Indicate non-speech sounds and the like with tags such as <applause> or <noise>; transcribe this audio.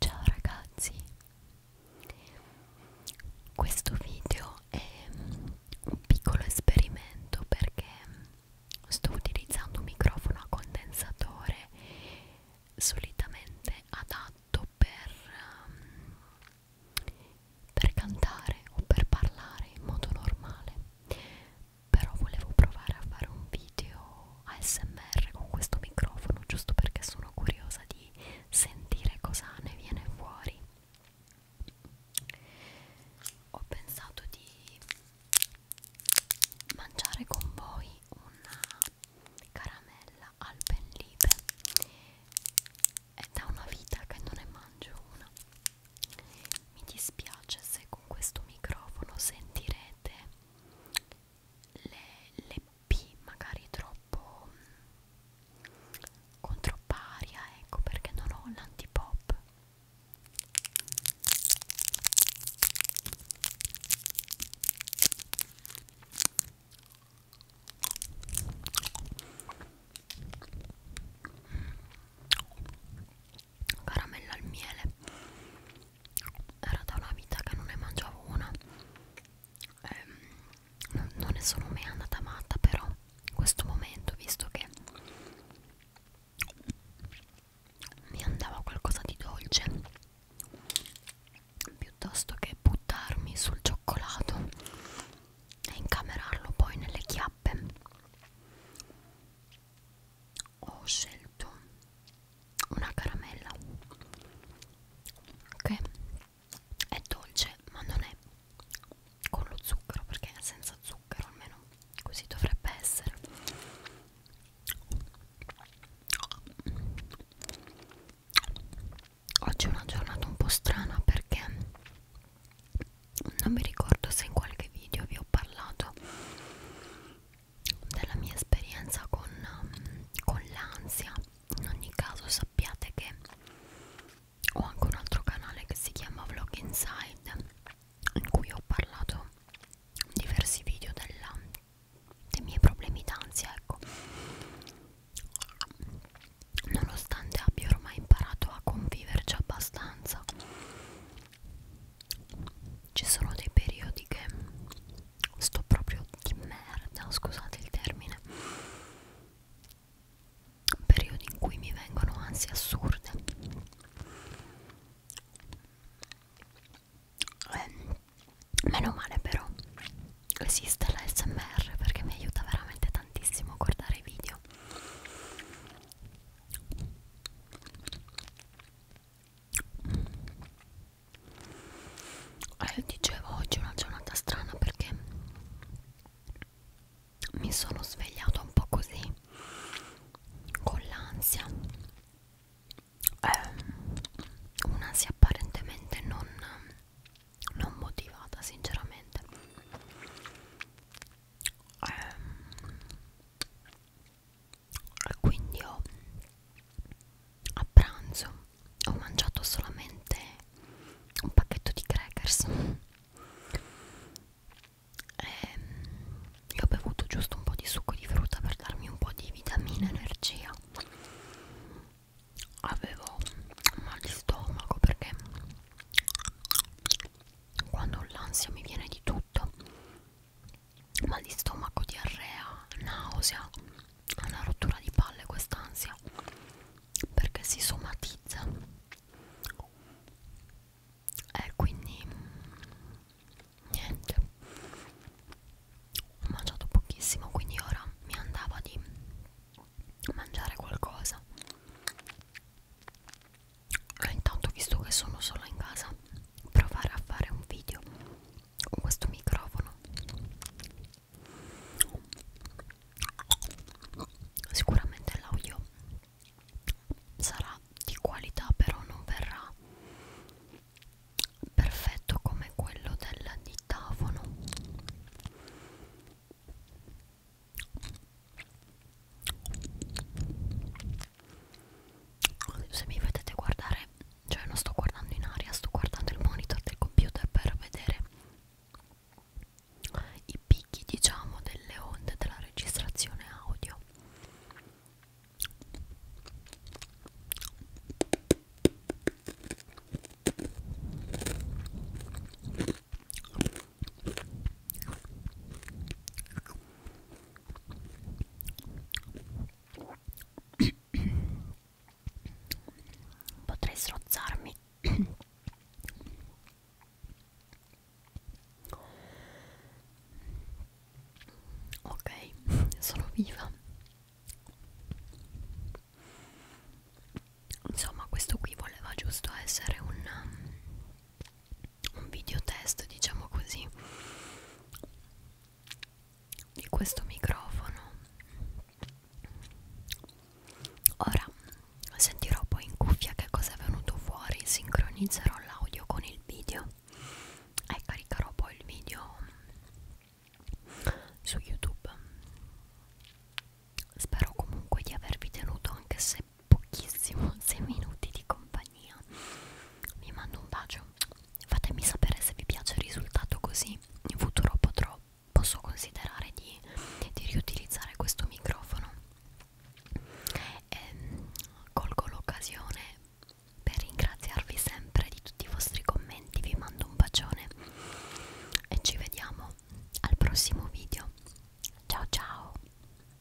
Ciao ragazzi, questo video è un piccolo esperimento perché sto utilizzando un microfono a condensatore solitamente adatto per, ehm, per cantare o per parlare in modo normale, però volevo provare a fare un video ASMR con questo microfono giusto perché sono curiosa di sentire cosa ne viene fuori ho pensato di mangiare con voi una caramella al penlipe è da una vita che non ne mangio una mi dispiace se con questo microfono sentirete le, le P magari troppo mh, mm, con troppa aria ecco perché non ho l'antipop caramella al miele era da una vita che non ne mangiavo una ehm, non, non ne sono mai andata matta però in questo momento visto che mi andava qualcosa di dolce piuttosto che buttarmi sul cioccolato e incamerarlo poi nelle chiappe ho scelto una caramella ok è dolce ma non è con lo zucchero perché è senza zucchero almeno così dovrebbe essere oggi è una giornata un po' strana perché non mi ricordo se in qualche video vi ho parlato della mia esperienza con, um, con l'ansia in ogni caso sappiate che ho anche un altro canale che si chiama Vlog Inside in cui ho parlato in diversi video della, dei miei problemi d'ansia ecco nonostante abbia ormai imparato a conviverci abbastanza ci sono dei periodi che sto proprio di merda, scusate il termine periodi in cui mi vengono ansie assurde eh, meno male però esiste la smr perché mi aiuta veramente tantissimo a guardare i video eh, dicevo oggi è una giornata strana perché mi sono svegliata un po' così con l'ansia eh, un'ansia apparentemente non, non motivata sinceramente eh, quindi ho a pranzo ho mangiato solamente un pacchetto di crackers e, ehm, e ho bevuto giusto un po' di succo di frutta per darmi un po' di vitamina e energia avevo mal di stomaco perché quando ho l'ansia mi viene di tutto mal di stomaco, diarrea, nausea, una rottura di palle quest'ansia perché si somatizza e quindi niente ho mangiato pochissimo quindi ora mi andava di mangiare qualcosa intanto visto che sono sola in casa provare a fare un video con questo microfono sicuramente l'audio sarà di qualità però non verrà perfetto come quello del dittafono se mi vedete guardare cioè non sto guardando in aria sto guardando il monitor del computer per vedere i picchi diciamo delle onde della registrazione audio <coughs> Potrei strozzarmi. <coughs> ok, <laughs> sono viva. Insomma, questo qui voleva giusto essere un un video test diciamo così di questo microfono ora sentirò poi in cuffia che cosa è venuto fuori sincronizzerò l'audio con il video e caricherò poi il video su youtube spero comunque di avervi tenuto anche se pochissimo 6 minuti di compagnia vi mando un bacio fatemi sapere se vi piace il risultato così in futuro potrò, posso considerare di, di riutilizzare questo microfono e ehm, colgo l'occasione per ringraziarvi sempre di tutti i vostri commenti vi mando un bacione e ci vediamo al prossimo video ciao ciao